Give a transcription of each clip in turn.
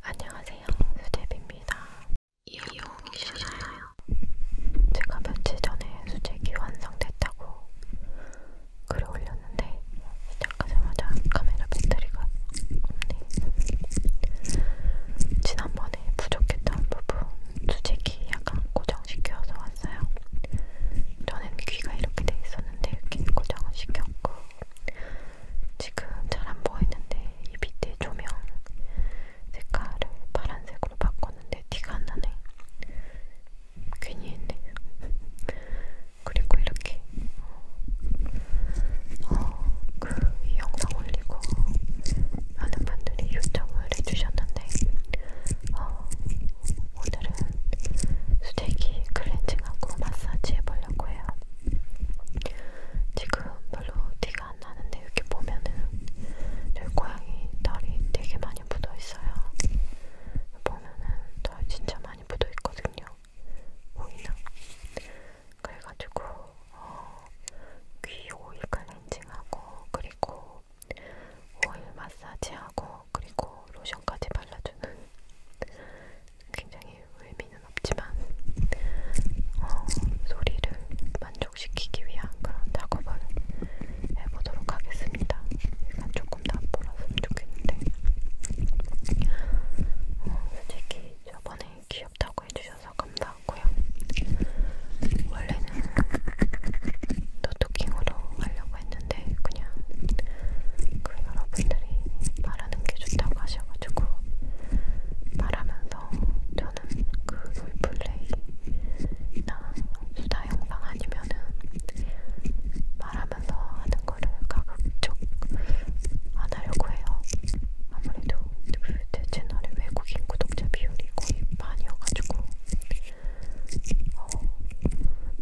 안녕하세요, 수제비입니다. 이용이시나요? 제가 며칠 전에 수제기 완성됐다고 글을 올렸는데 시작하자마자 카메라 배터리가 없네. 지난번에 부족했던 부분 수제기 약간 고정시켜서 왔어요. 저는 귀가 이렇게 돼 있었는데 이렇게 고정을 시켰고 지금 잘 안 보이는데 이 밑에 조명 색깔을 파란색으로 바꿨는데 티가 안 나네. 괜히 했네. 그리고 이렇게 어, 어 그이 영상 올리고 많은 분들이 요청을 해주셨는데 어, 오늘은 수제기 클렌징하고 마사지 해보려고 해요. 지금 별로 티가 안 나는데 이렇게 보면은 저희 고양이 털이 되게 많이 묻어 있어요. 보면은 털 진짜 많이 묻어 있거든요. 보이나? 그래가지고 어, 귀 오일 클렌징하고 그리고 오일 마사지하고 그리고 로션까지 발라주는 굉장히 의미는 없지만 어, 소리를 만족시키기 위한 그런 작업을 해보도록 하겠습니다. 약간 조금 나보았으면 좋겠는데 어, 솔직히 저번에 귀엽다고 해주셔서 감사하고요. 원래는 노토킹으로 하려고 했는데 건데 네, 그냥 그 여러분들이 말하는 게 좋다고 하셔가지고 말하면서 저는 그 롤플레이나 수다 영상 아니면은 말하면서 하는 거를 가급적 안 하려고 해요. 아무래도 제 채널의 외국인 구독자 비율이 거의 반이어가지고 어,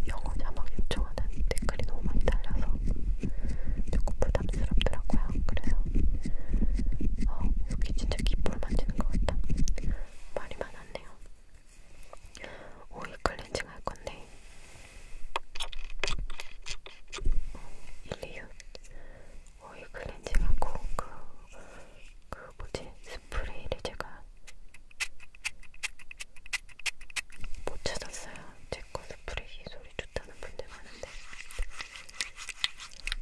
영어 자막 요청 영상은 댓글이 너무 많이 달려서 조금 부담스럽더라고요. 그래서 어, 이렇게 진짜 기포를 만지는 것 같다. 말이 많았네요. 오일 클렌징 할 건데 1, 2, 6 오일 클렌징하고 그, 그 뭐지? 스프레이를 제가 못 찾았어요. 제거 스프레이 소리 좋다는 분들 많은데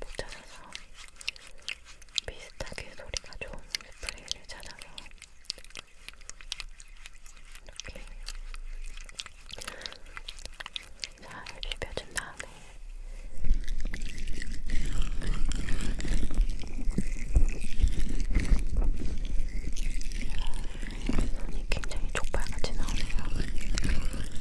못 찾아서 비슷하게 소리가 좋은 스프레이를 찾아서 이렇게 잘 비벼준 다음에 손이 굉장히 족발같이 나오네요. 반지 반지.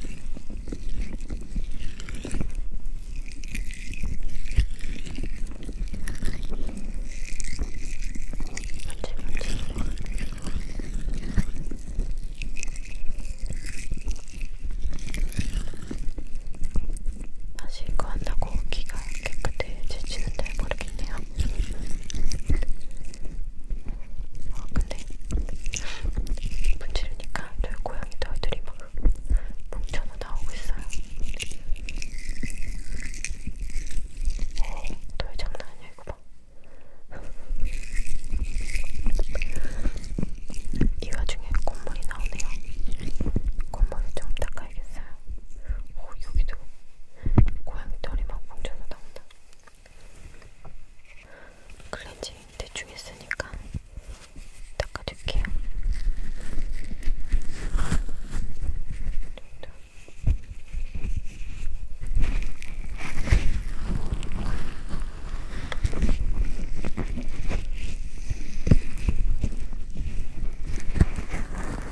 다시 이거 한다고 귀가 깨끗해지지는 잘 모르겠네요. 아 근데 문지르니까 저희 고양이 털들이 막 뭉쳐서 나오고 있어요. 에이, 털 장난 아니야 이거 봐. 이 와중에 콧물이 나오네요. 콧물을 좀 닦아야겠어요. 어, 여기도 고양이 털이 막 뭉쳐서 나온다. 클렌징 대충 했으니까 닦아줄게요. 이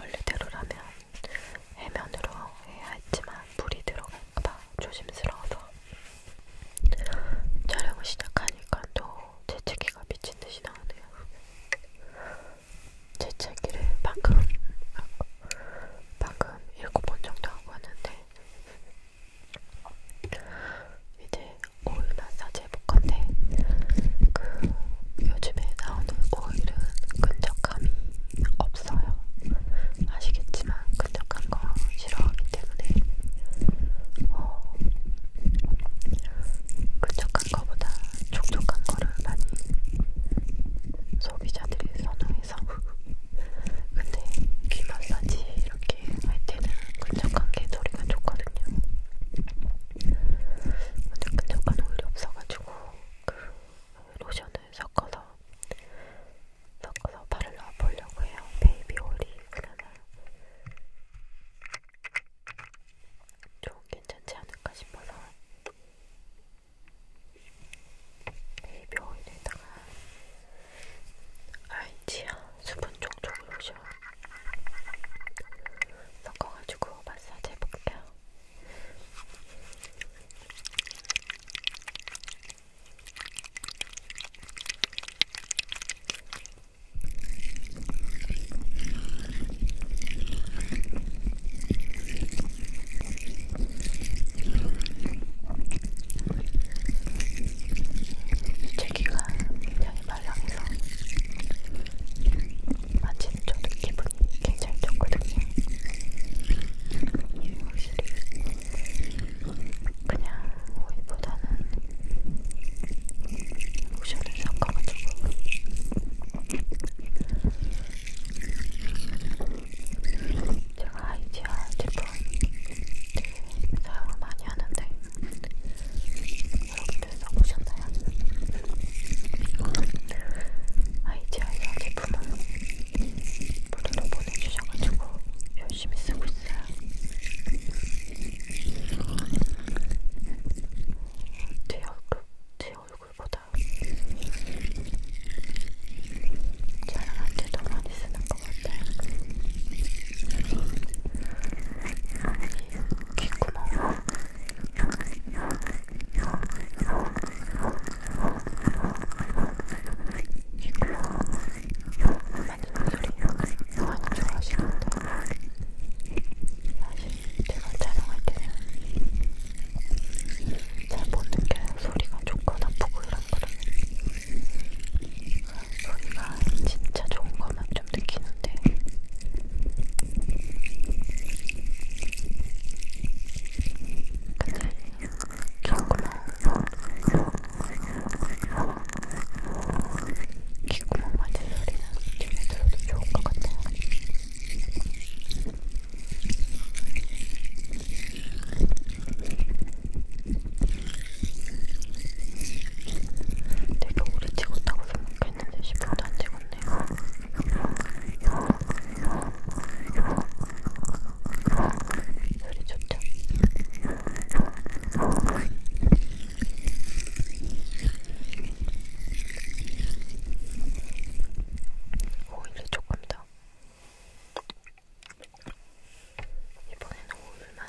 원래대로라면 해면으로 해야 했지만 물이 들어가 막 조심스러워서 촬영을 시작하니까 또 재채기가 미친듯이 나오네요. 재채기를 방금 방금 일곱 번 정도 하고 왔는데 이제 오일 마사지 해볼 건데 그 요즘에 나오는 오일은 끈적함이 없 없어요. 아시겠지만 근력한 거 싫어하기 때문에 어, 근력한 거보다 촉촉한 거를 많이 소비자들이 선호해서 근데 귀 마사지 이렇게 할 때는 근력한 게 소리가 좋거든요. 완전 근력한 오일이 없어가지고 그 로션을 섞어서 섞어서 발을 넣어보려고 해요. 베이비 올리브는 좀 괜찮지 않을까 싶어서 베이비 오일에다가 알지야 수분 촉촉 로션 섞어가지고 마사지 해볼게요. 제기가 굉장히 말랑해서 마침 저도 기분이 굉장히 좋거든요. 확실히 그냥 오이보다는 로션을 섞어가지고 제가 아이디어 제품 뭐 사용을 많이 하는데 여러분들 써보셨나요? 아이디어 제품은 번호로 보내주셔가지고 열심히 쓰고 있어요. 제 얼굴, 제 얼굴보다 저한테 더 많이 쓰는 것 같아요. 이 귀구멍. 소리 많이 좋아하시는데 사실 제가 촬영할 때는 잘못 느껴요. 소리가 좋거나 부끄러운 거라면 소리가 진짜 좋은 것만 좀 느끼는데 근데 귀구멍 맞은 소리는 집에 들어도 좋을 것 같아요. 되게 오래 찍었다고 생각했는데 10분도 안 찍었네요. 소리 좋죠? 오일을 조금 더 이번에는 오일만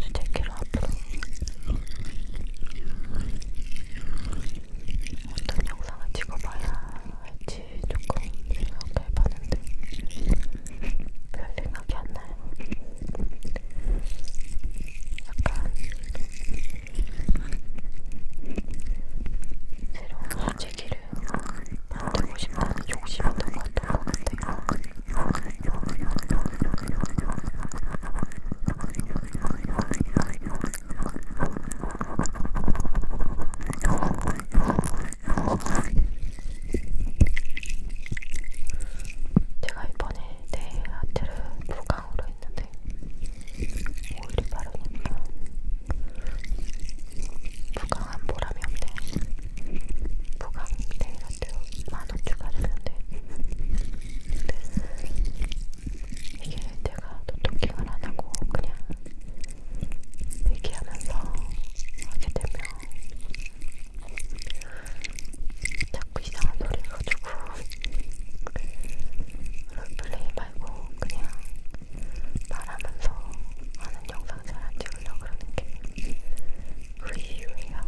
수제키로 앞으로 어떤 영상을 찍어봐야 할지 조금 생각도 해봤는데 별 생각이 안 나요. 약간 새로운 수제기를 만들고 싶다는 욕심이 더 많던 것 같아요. 제가 이번에 네일 아트를 무광으로 했는데 오일이 바르니까 무광한 보람이 없네. 무광 네일 아트 만원 추가했는데 이게 내가 노토킹을 안 하고 그냥 얘기하면서 하게 되면 자꾸 이상한 소리 해가지고 롤플레이 말고 그냥 말하면서 하는 영상 잘 안 찍으려고 그러는 게 그 이유예요.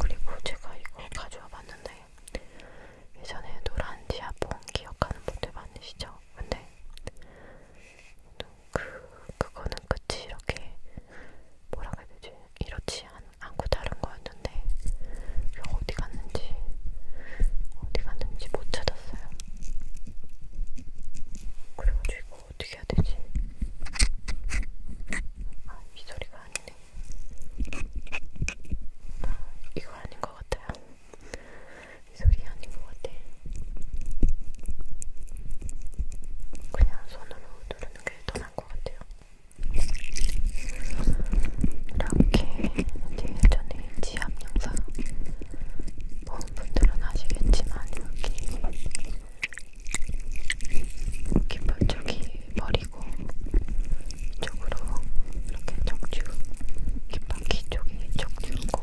그리고 제가 이거 가져와 봤는데 예전에 노란 지압봉 기억하는 분들 많으시죠? 근데 그, 그거는 끝이 이렇게 뭐라 그래야 되지? 이렇지 않, 않고 다른 거였는데 이거 어디 갔나 갔는지 어디 갔는지 못 찾았어요. 그래가지고 이거 어떻게 해야 되지? 아, 이 소리가 아니네. 아, 이거 아닌 것 같아요. 이 소리 아닌 것 같아. 그냥 손으로 누르는 게 더 나을 것 같아요. 이렇게 예전에 이 지압 영상 보는 분들은 아시겠지만 여기 깃발 쪽이 머리고 이쪽으로 이렇게 척추 깃바퀴 쪽이 척추고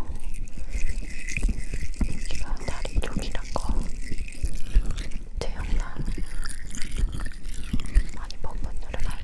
여기가 다리 쪽이란 거제 영상 많이 본 분들은 알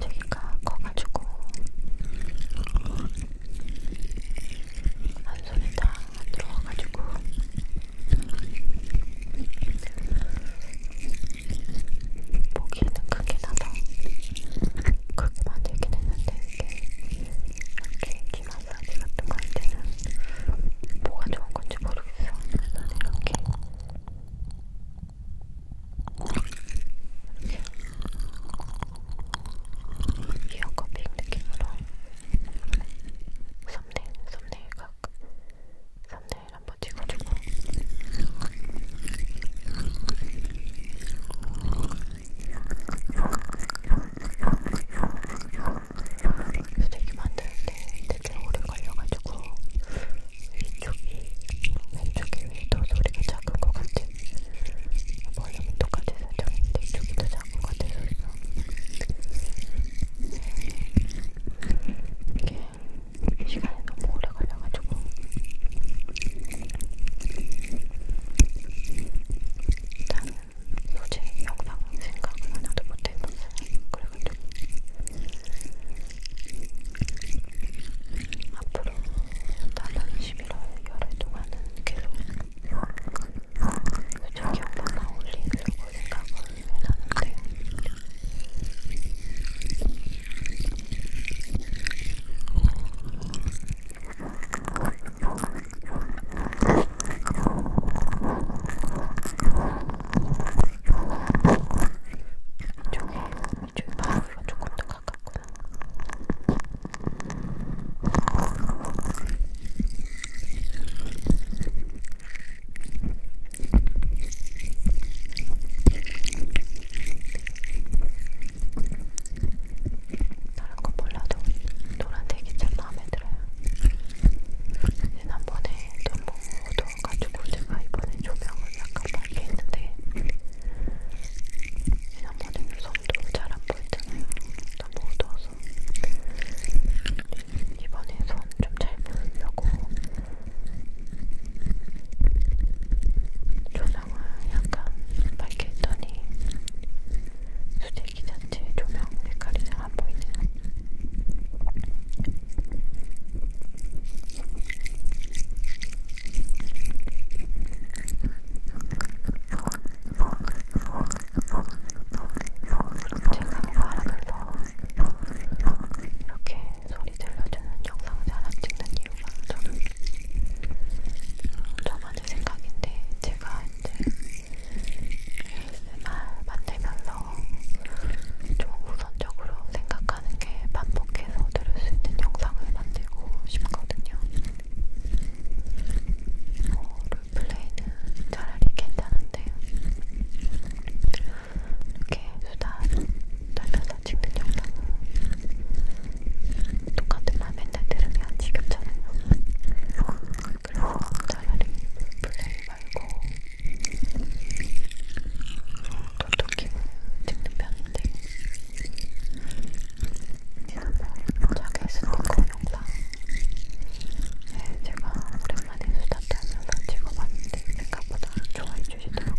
되기가 커가지고 한 손에 다 들어가가지고 보기에는 크게 나도 그렇게 만들긴 했는데 이게 이렇게 귀 마사지 같은 거할 때는 뭐가 좋은 건지 모르겠어. 그래서 이렇게 이렇게 이어커핑 느낌으로 썸네일, 썸네일 각 썸네일 한번 찍어주고 쓰레기 만들 때 되게 오래 걸려가지고 위쪽이 왼쪽이 위더 소리가 작은 것 같아. 볼륨이 똑같이 설정했는데 이쪽이 더 작은 것 같아서 이게 시간이 너무 오래 걸려가지고 일단은 소재 영상 생각은 하나도 못해봤어요. 그래가지고 앞으로 다른 11월 열흘 동안은 계속 소재 영상만 올리려고 생각을 해놨는데 이쪽에 바울이가 조금 더 가깝구나. 다른 건 몰라도 노란색이 참 마음에 들어요. 지난번에 너무 더워가지고 제가 이번에 조명을 약간 밝게 했는데 지난번에는 손도 잘 안 보였잖아요. 너무 더워서 이번에 손 좀잘 보이려고 조명 조명을 약간 밝게 했더니 수제기 자체의 조명 색깔이 잘안 보이네요. 제가 말하면서 이렇게 소리 들려주는 영상 잘안 찍는 이유가 저는 저만의 생각인데 제가 이제 ASMR 만들면서 좀 우선적으로 생각하는 게 반복해서 들을 수 있는 영상을 만들고 싶거든요. 어, 롤플레이는 차라리 괜찮은데 이렇게 수다 떨면서 찍는 영상은 똑같은 말 맨날 들으면 지겹잖아요. 그래서 차라리 플레이 말고 톡톡히을 찍는 편인데 지난번 자기 스니커 영상 네, 제가 오랜만에 수다 떨면서 찍어봤는데 생각보다 좋아해 주시더라고요.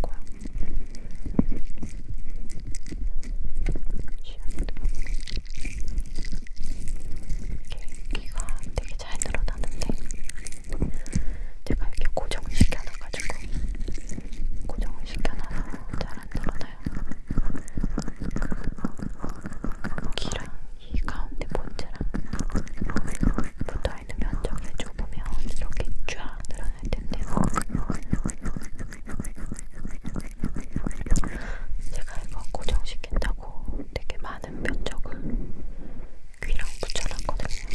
귀가 되게 잘 늘어나는데 제가 이렇게 고정을 시켜놔가지고 고정을 시켜놔서 잘 안 늘어나요. 귀랑 이 가운데 본체랑 붙어있는 면적을 좁으면 이렇게 쫙 늘어날 텐데요. 제가 이거 고정시킨다고 되게 많은 면적을 귀랑 붙여놨거든요.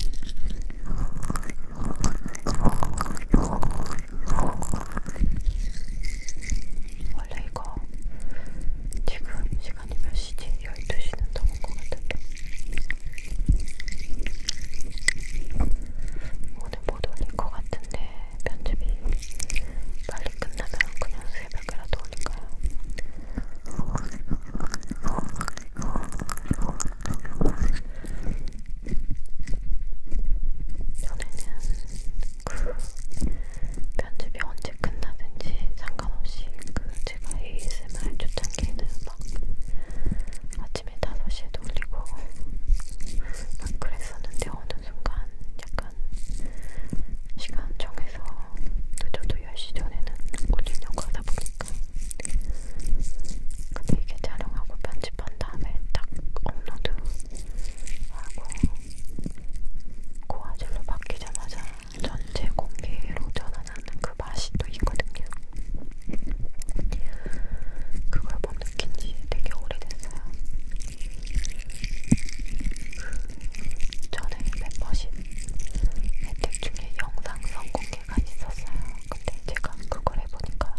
원래 이거 지금 시간이 몇 시지? 12시는 넘은 것 같은데 오늘 못 올릴 것 같은데 편집이 빨리 끝나면 그냥 새벽이라도 올릴까요? 전에는 그 편집이 언제 끝나든지 상관없이 그 제가 ASMR 초창기에는 막 아침에 5시에 돌리고 막 그랬었는데 어느 순간 약간 시간 정해서 늦어도 10시 전에는 올리려고 하다 보니까 근데 이게 촬영하고 편집한 다음에 딱 업로드하고 고화질로 바뀌자마자 전체 공개로 전환하는 그 맛이 또 있거든요. 그걸 못 느낀 지 되게 오래됐어요. 그 전에 멤버십 혜택 중에 영상 선공개가 있었어요. 근데 제가 그걸 해보니까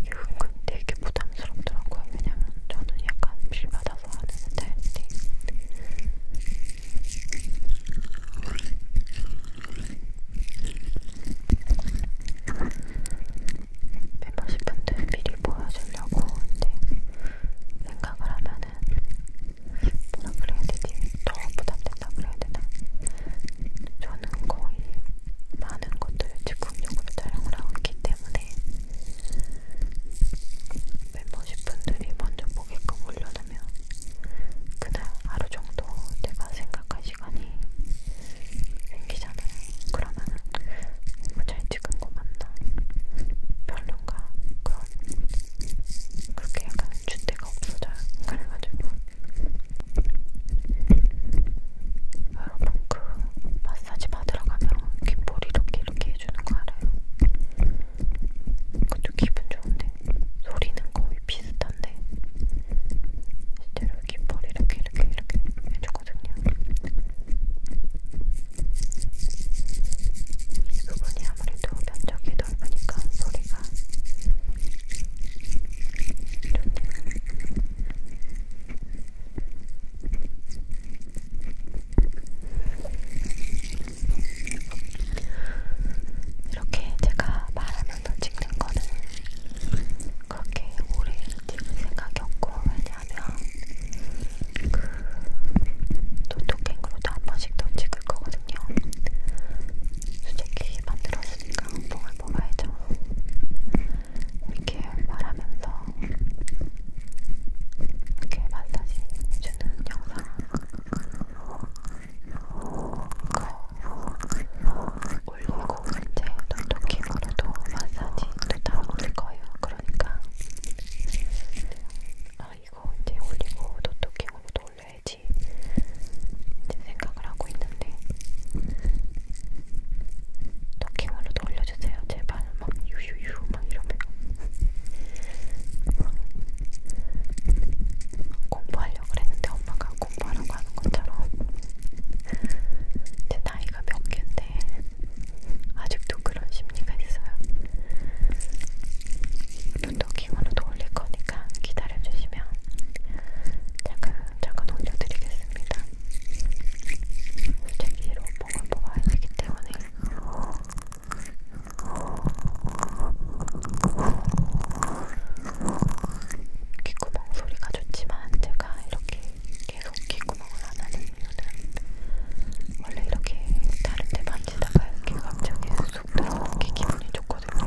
은근 되게 부담스럽더라고요. 왜냐면 저는 약간 빌받아서 하는 스타일인데 멤버십 분들 미리 보여주려고 이제 생각을 하면은 뭐라 그래야 되지? 더 부담된다 그래야 되나? 저는 거의 많은 것들을 즉흥적으로 촬영을 하고 있기 때문에 멤버십 분들이 먼저 보게끔 올려놓으면 그날 하루 정도 내가 생각할 시간이 생기잖아요. 그러면은 뭐잘 찍은 거 맞나? 별론가? 그런 그렇게 약간 주대가 없어져요. 그래가지고 여러분 그 마사지 받으러 가면 귓볼 이렇게 이렇게 해주는 거 알아요? 그것도 기분 좋은데 소리는 거의 비슷한데 실제로 깃털 이렇게 이렇게 이렇게 해주거든요. 이 부분이 아무래도 면적이 넓으니까 소리가 좋네요. 이렇게 제가 말하는 영상을 찍는 거는 그렇게 오래 찍을 생각이 없고 왜냐면 그 노트갱으로도 한 번씩 더 찍을 거거든요. 솔직히 만들었으니까 봉을 뽑아야죠. 이렇게 말하면서 이렇게 마사지 주는 영상 올리고 이제 톡톡히 그래도 마사지도 다 올릴 거예요. 그러니까 아 이거 이제 올리고 톡톡히으로도 올려야지 이제 생각을 하고 있는데 토킹으로도 올려주세요. 제발 막 유유유 막 이러면 공부하려고 그랬는데 엄마가 공부하라고 하는 것처럼 제 나이가 몇 갠데 아직도 그런 심리가 있어요. 눈도킹으로도 올릴 거니까 기다려주시면 잠깐 잠깐 올려드리겠습니다. 솔직히로 뽕을 뽑아야 되기 때문에 귓구멍 소리가 좋지만 제가 이렇게 계속 귓구멍을 안 하는 이유는 원래 이렇게 다른 데 만지다가 이렇게 갑자기 쑥 들어오는 게 기분이 좋거든요.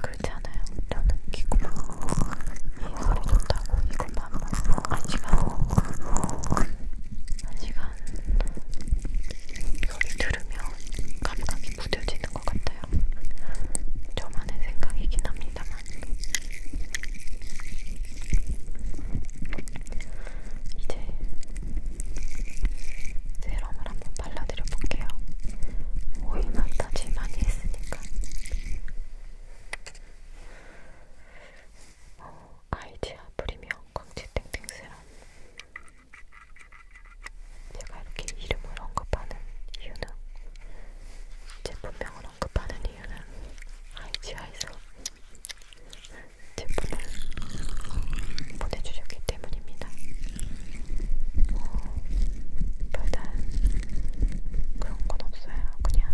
그렇지 않아요? 저는 귓구멍 이 소리 좋다고 이것만 한 시간 한 시간 소리 들으면 감각 무뎌지는 것 같아요. 저만의 생각이긴 합니다만. 이제 세럼을 한번 발라드려 볼게요. 오일 마사지 많이 했으니까. 어, 아이디아 프리미엄 광채 땡땡 세럼 제가 이렇게 이름을 언급하는 이유는 제품명을 언급하는 이유는 아이지아에서 제품을 보내주셨기 때문입니다. 뭐 별다른 그런 건 없어요. 그냥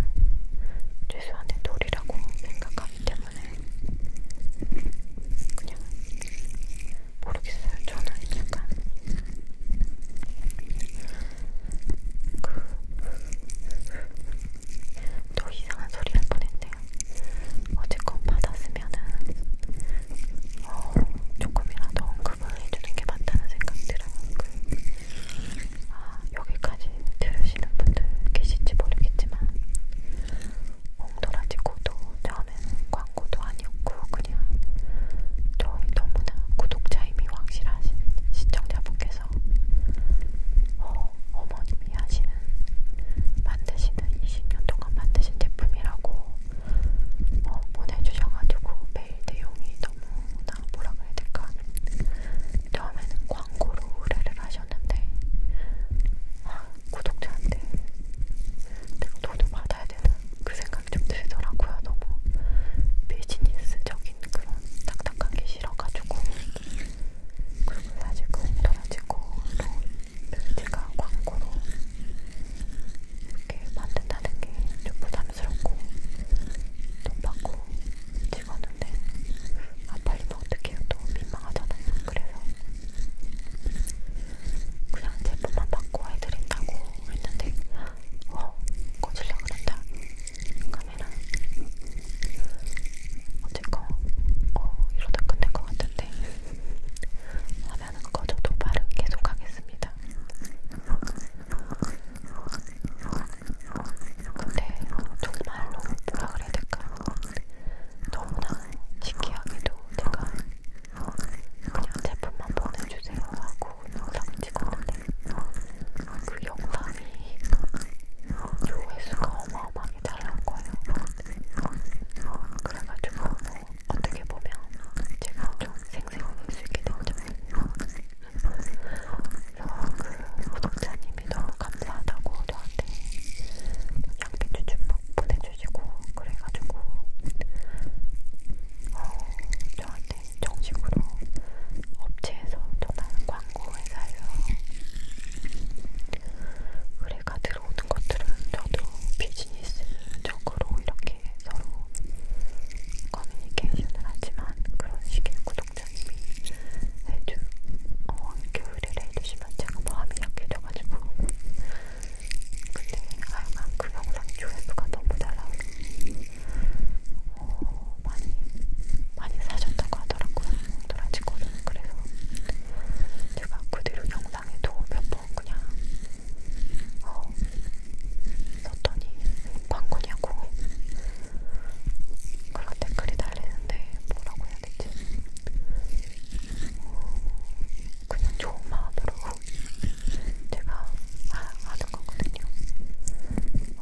최소한의 돌이라고 생각하기 때문에 그냥 모르겠어요. 저는 약간 그또 이상한 소리 할 뻔했네요. 어쨌건 받았으면은 어, 조금이라도 언급을 해주는 게 맞다는 생각 들어요. 그, 아 여기까지 들으시는 분들 계신지 모르겠지만. 어, 도라지고도 처음엔 광고도 아니었고 그냥 저희 너무나 구독자 이미 확실하신 시청자분께서 어, 어머님이 하시는 만드시는 20년 동안 만드신 제품이라고 어, 보내주셔가지고 매일 내용이 너무나 뭐라 그래야 될까 처음에는 광고로 의뢰를 하셨는데 아, 구독자한테 내가 돈을 받아야 되는 그 생각이 좀 들더라고요. 너무 비즈니스적인 그런 딱딱한 게 싫어가지고 그리고 사실 그 홍도라지고 또 제가 광고로 이렇게 만든다는 게 좀 부담스럽고 돈 받고 찍었는데 아 빨리면 뭐 어떡해요 또 민망하잖아요. 그래서 그냥 제품만 받고 해드린다고 했는데 와 꺼질라 그런다 카메라 어쨌건 어 이러다 끝낼 것 같은데 화면은 꺼져도 발은 계속 하겠습니다 근데 정말로 뭐라 그래야 될까 너무나 신기하게도 제가 그냥 제품만 보내주세요 하고 영상을 찍었는데 그 영상이 조회수가 어마어마하게 잘 나온 거예요. 그래가지고 뭐 어떻게 보면 제가 좀 생생해질 수 있게 됐죠. 그래서 그 구독자님이 너무 감사하다고 저한테 양배추 좀막 보내주시고 그래가지고 어, 저한테 정식으로 업체에서 전화는 광고 회사에서 의뢰가 들어오는 것들은 저도 비즈니스적으로 이렇게 서로 커뮤니케이션을 하지만 그런 식의 구독자님이 해주 어, 이렇게 의뢰를 해주시면 제가 마음이 약해져가지고 근데 하여간 그 영상 조회수가 너무 잘 나오고 어, 많이 많이 사셨다고 하더라고요 도라지코는 그래서 제가 그 뒤로 영상에도 몇번 그냥 어, 썼더니 광고냐고 그런 댓글이 달리는데 뭐라고 해야 되지 그냥 좋은 마음으로 제가 하는 거거든요.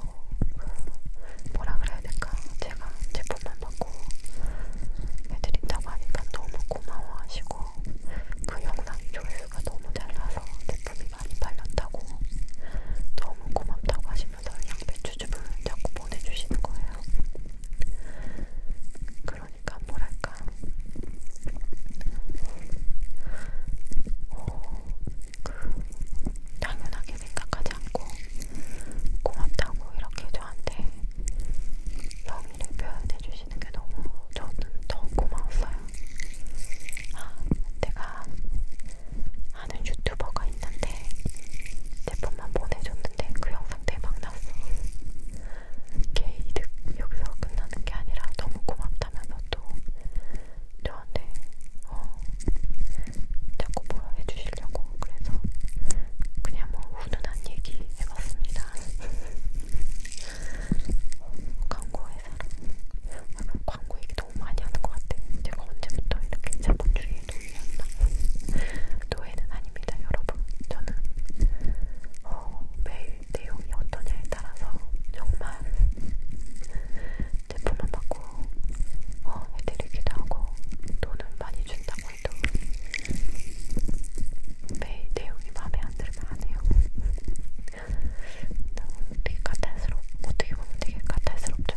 어, 그 뭐라 그래야 될까? 제가 제품만 받고 해드린다고 하니까 너무 고마워하시고 그 영상 조회수가 너무 잘나서 제품이 많이 팔렸다고 너무 고맙다고 하시면서 양배추즙을 자꾸 보내주시는 거예요. 그러니까 뭐랄까 어, 그 당연하게 생각하지 않고 고맙다고 이렇게 저한테 영의를 표현해 주시는 게 너무 저는 더 고마웠어요. 아, 내가 아는 유튜버가 있는데 내 번만 보내줬는데 그 영상 대박 났어. 개 이득 여기서 끝나는 게 아니라 너무 고맙다면서 또 저한테 어 자꾸 뭐라 해주시려고 그래서 그냥 뭐 훈훈한 얘기 해봤습니다. 광고회사랑 아, 광고 얘기 너무 많이 하는 것 같아. 제가 언제부터 이렇게 자본주의 돌렸나? 노예는 아닙니다, 여러분. 저는 어, 매일 내용이 어떠냐에 따라서 정말 제품만 받고 어, 해드리기도 하고 돈은 많이 준다고 해도 매일 내용이 마음에 안 들면 안 해요. 되게 까탈스럽, 어떻게 보면 되게 까탈스럽죠?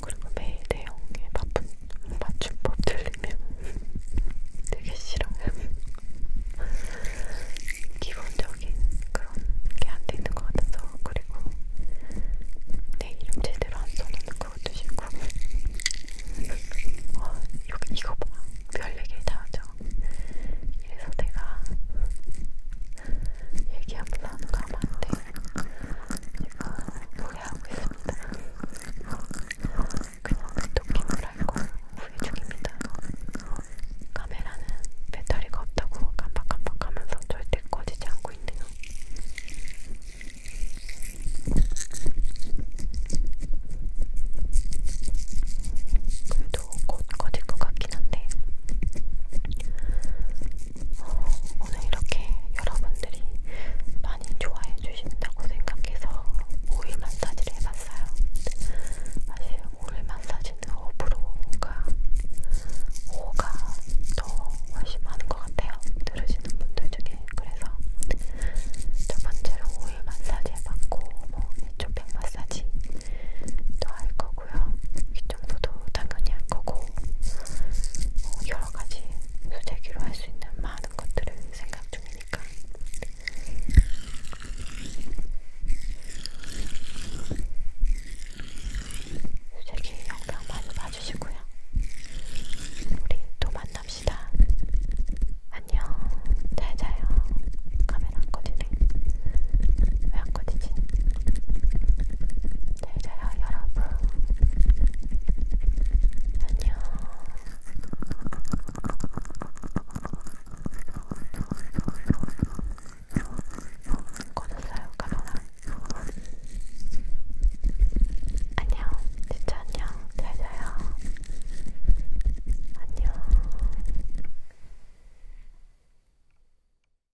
그리고 매일 대형의 바쁜 맞춤법 들리면 되게 싫어. 기본적인 그런 게안 되는 것 같아서 그리고 내 이름 제대로 안 써놓는 것도 싫고. 와 아, 이거, 이거 봐. 별 얘기 다 하죠. 이래서 내가 얘기 한번 나누고 하면 안 돼. 제가 후회하고 있습니다. 그냥 도킹을 할거 후회 중입니다. 카메라는 배터리가 없다고 깜빡깜빡하면서 절대 꺼지지 않고 있네요. 그래도 곧 꺼질 것 같긴 한데 오늘 이렇게 여러분들이 많이 좋아해 주신다고 생각해서 오일 마사지를 해봤어요. 사실 오일 마사지는 어프로가 5가 더 훨씬 많은 것 같아요. 들으시는 분들 중에 그래서 첫 번째로 오일 마사지 해봤고 뭐 이쪽 백 마사지 도할 거고 거고요. 귀청소도 당연히 할 거고 어, 여러 가지 수제기로 할 수 있는 많은 것들을 생각 중이니까. 수제기 영상 많이 봐주시고요. 우리 또 만납시다. 안녕. 잘 자요. 카메라 안 꺼지네. 왜 안 꺼지지? 잘자요 여러분 안녕 꺼졌어요 카메라 안녕 진짜 안녕 잘자요 안녕